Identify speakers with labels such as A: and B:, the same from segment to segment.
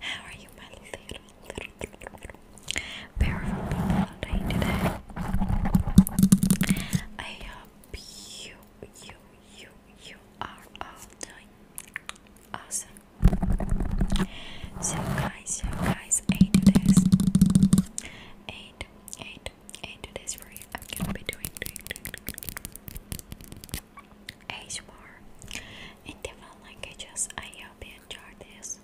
A: how are you, my little, little, beautiful people day today? I hope you, you, you, you are all doing awesome. So, guys, so guys, eight days, eight, eight, eight days for you. I'm gonna be doing, doing, doing. ASMR in different languages. I hope you enjoyed this.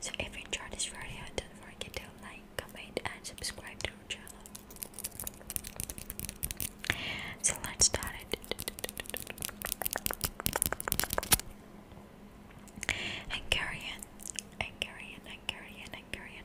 A: So if you enjoyed this video, don't forget to like, comment and subscribe to our channel. So let's start it. Hungarian, Hungarian, Hungarian, Hungarian.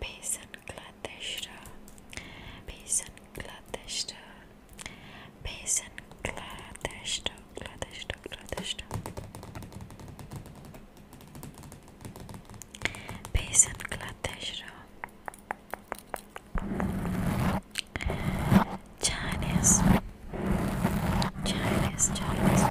A: Basin Cladeshra Basin Cladeshra Basin Cladeshra Cladeshra Cladeshra Basin Cladeshra Chinese Chinese Chinese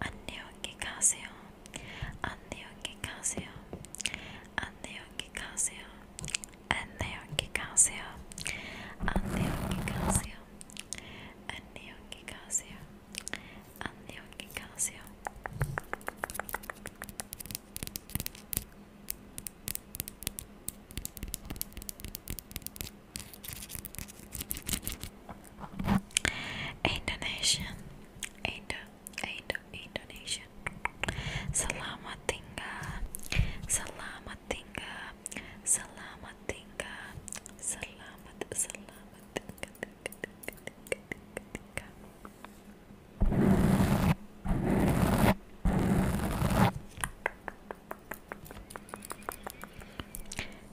A: 안녕히 가세요. 안녕히 가세요. 안녕히 가세요. 안녕히 가세요. 안녕히 가세요. 안녕히 가세요. 안녕히 가세요. Indonesia, Indo Indo Indonesian Selamat tinggal Selamat tinggal Selamat tinggal Selamat Selamat tinggal, tinggal, tinggal, tinggal, tinggal.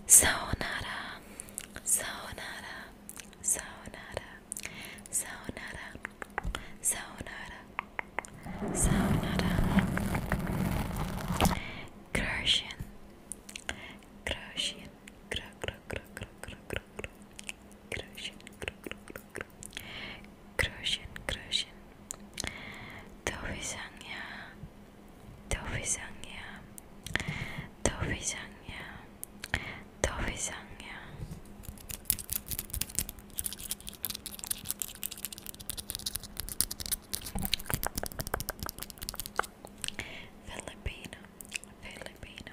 A: Sayonara, sayonara, Sayonara, sayonara, sayonara, sayonara. Croatian, Croatian, cro cro cro cro cro cro cro. Croatian, cro cro cro cro. Croatian, Croatian. To Toby Toby Dovizangya Dovizangya Dovizangya Filipino Filipino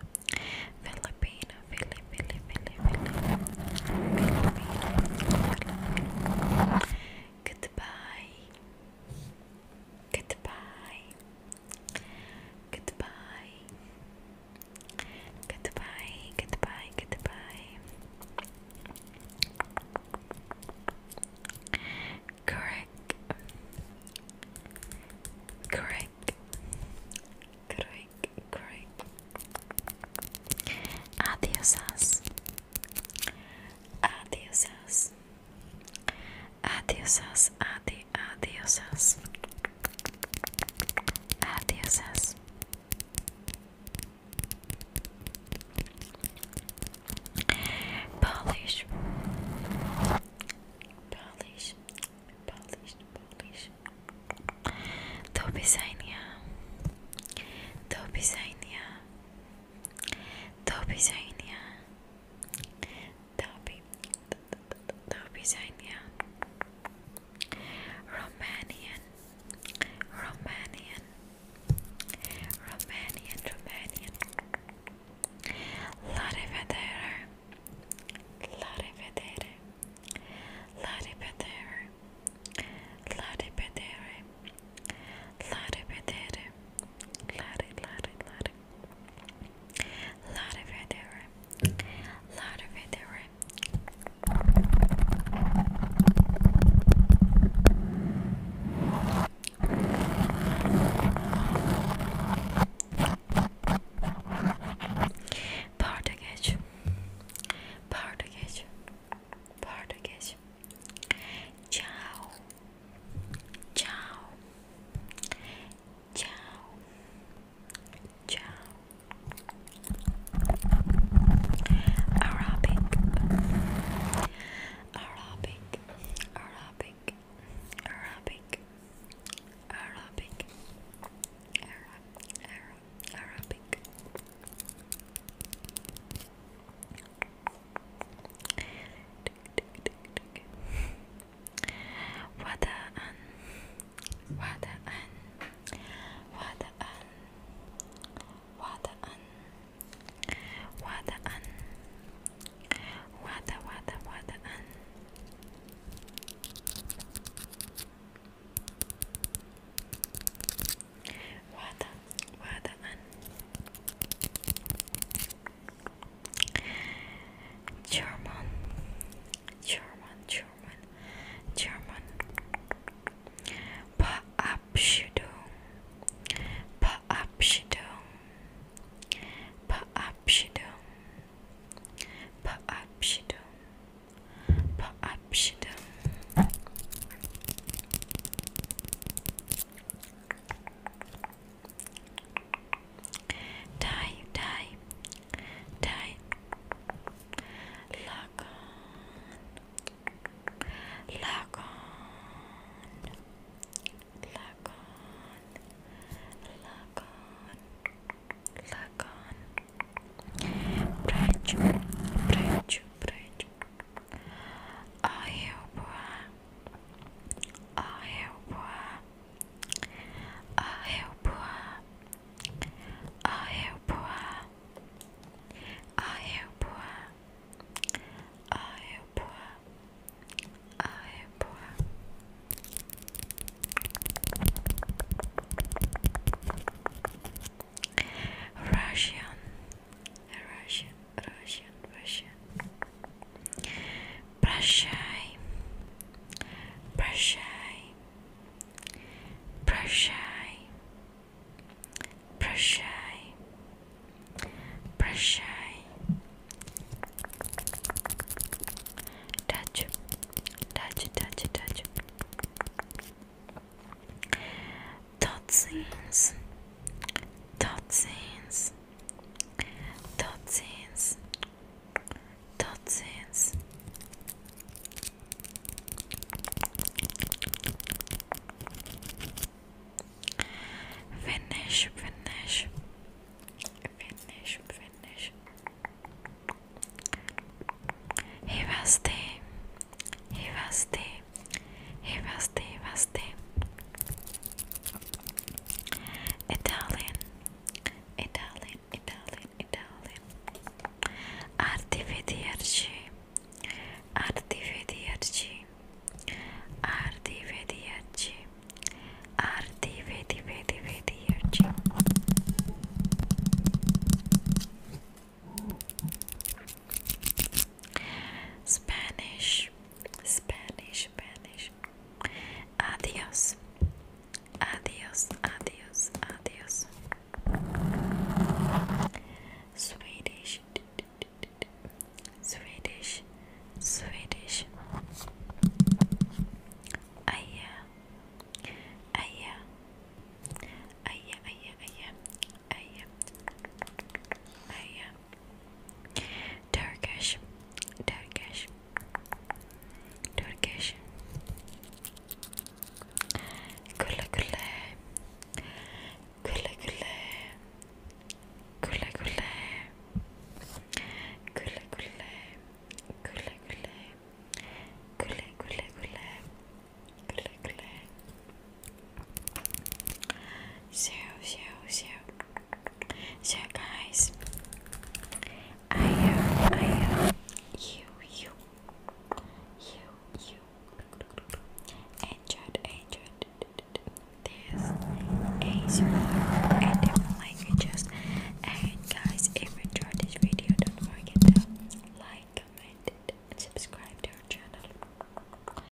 A: Filipino Filipino Filipino Filipino Goodbye Goodbye Goodbye. Goodbye. Goodbye. Goodbye. Correct. Correct. Correct. Correct. Adiosas. Adiosas. Adiosas, adi, adiosas, adiosas. Polish, Polish, Polish, Polish. Do widzenia, do widzenia, do widzenia that'll be that'll be sign, yeah. Romanian, Romanian, Romanian, Romanian. La rivedere, la rivedere, la rivedere, la rivedere, la rivedere, la rivedere, la rivedere. Lot of it there. Lot of it there. Portuguese. Portuguese. Portuguese. Ciao. Ciao. Ciao. Ciao. Arabic. Arabic. Arabic. Arabic. Arabic. Arab, Arab, Arabic. وداعا وداعا وداعا وداعا وداعا ودا ودا وداعا ودا وداعا German, German, German, German. Verabschiedung, Verabschiedung, Verabschiedung, Verabschiedung, Verabschiedung. Die, die, die. Lock on, lock on, lock on, lock on, lock on. Branch, branch, branch. Russian Russian Russian, Russian. Прощай, прощай, прощай, прощай, прощай. Touch, touch, touch, touch. Tot ziens, tot ziens toxins toxins finish finish finish finish he was the he was the he was Rusty. Italian, Italian, Italian, Italian. Arrivederci, Spanish. Spanish, Spanish. Adios. Adios, adios, adios. Swedish. Swedish, Swedish. Aja, aja, aja, aja, aja. I am. I am. Turkish. Turkish. Turkish. Kule kule. Kule kule. Kule kule. Kule kule. Kule kule. Kule kule kule. Kule kule. So, so, so, so, guys, I hope, I hope you, you, you, you enjoyed, enjoyed this ASMR and different languages. And guys, if you enjoyed this video, don't forget to like, comment, and subscribe to our channel.